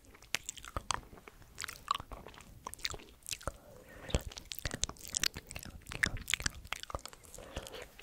Good afternoon, welcome. Good afternoon.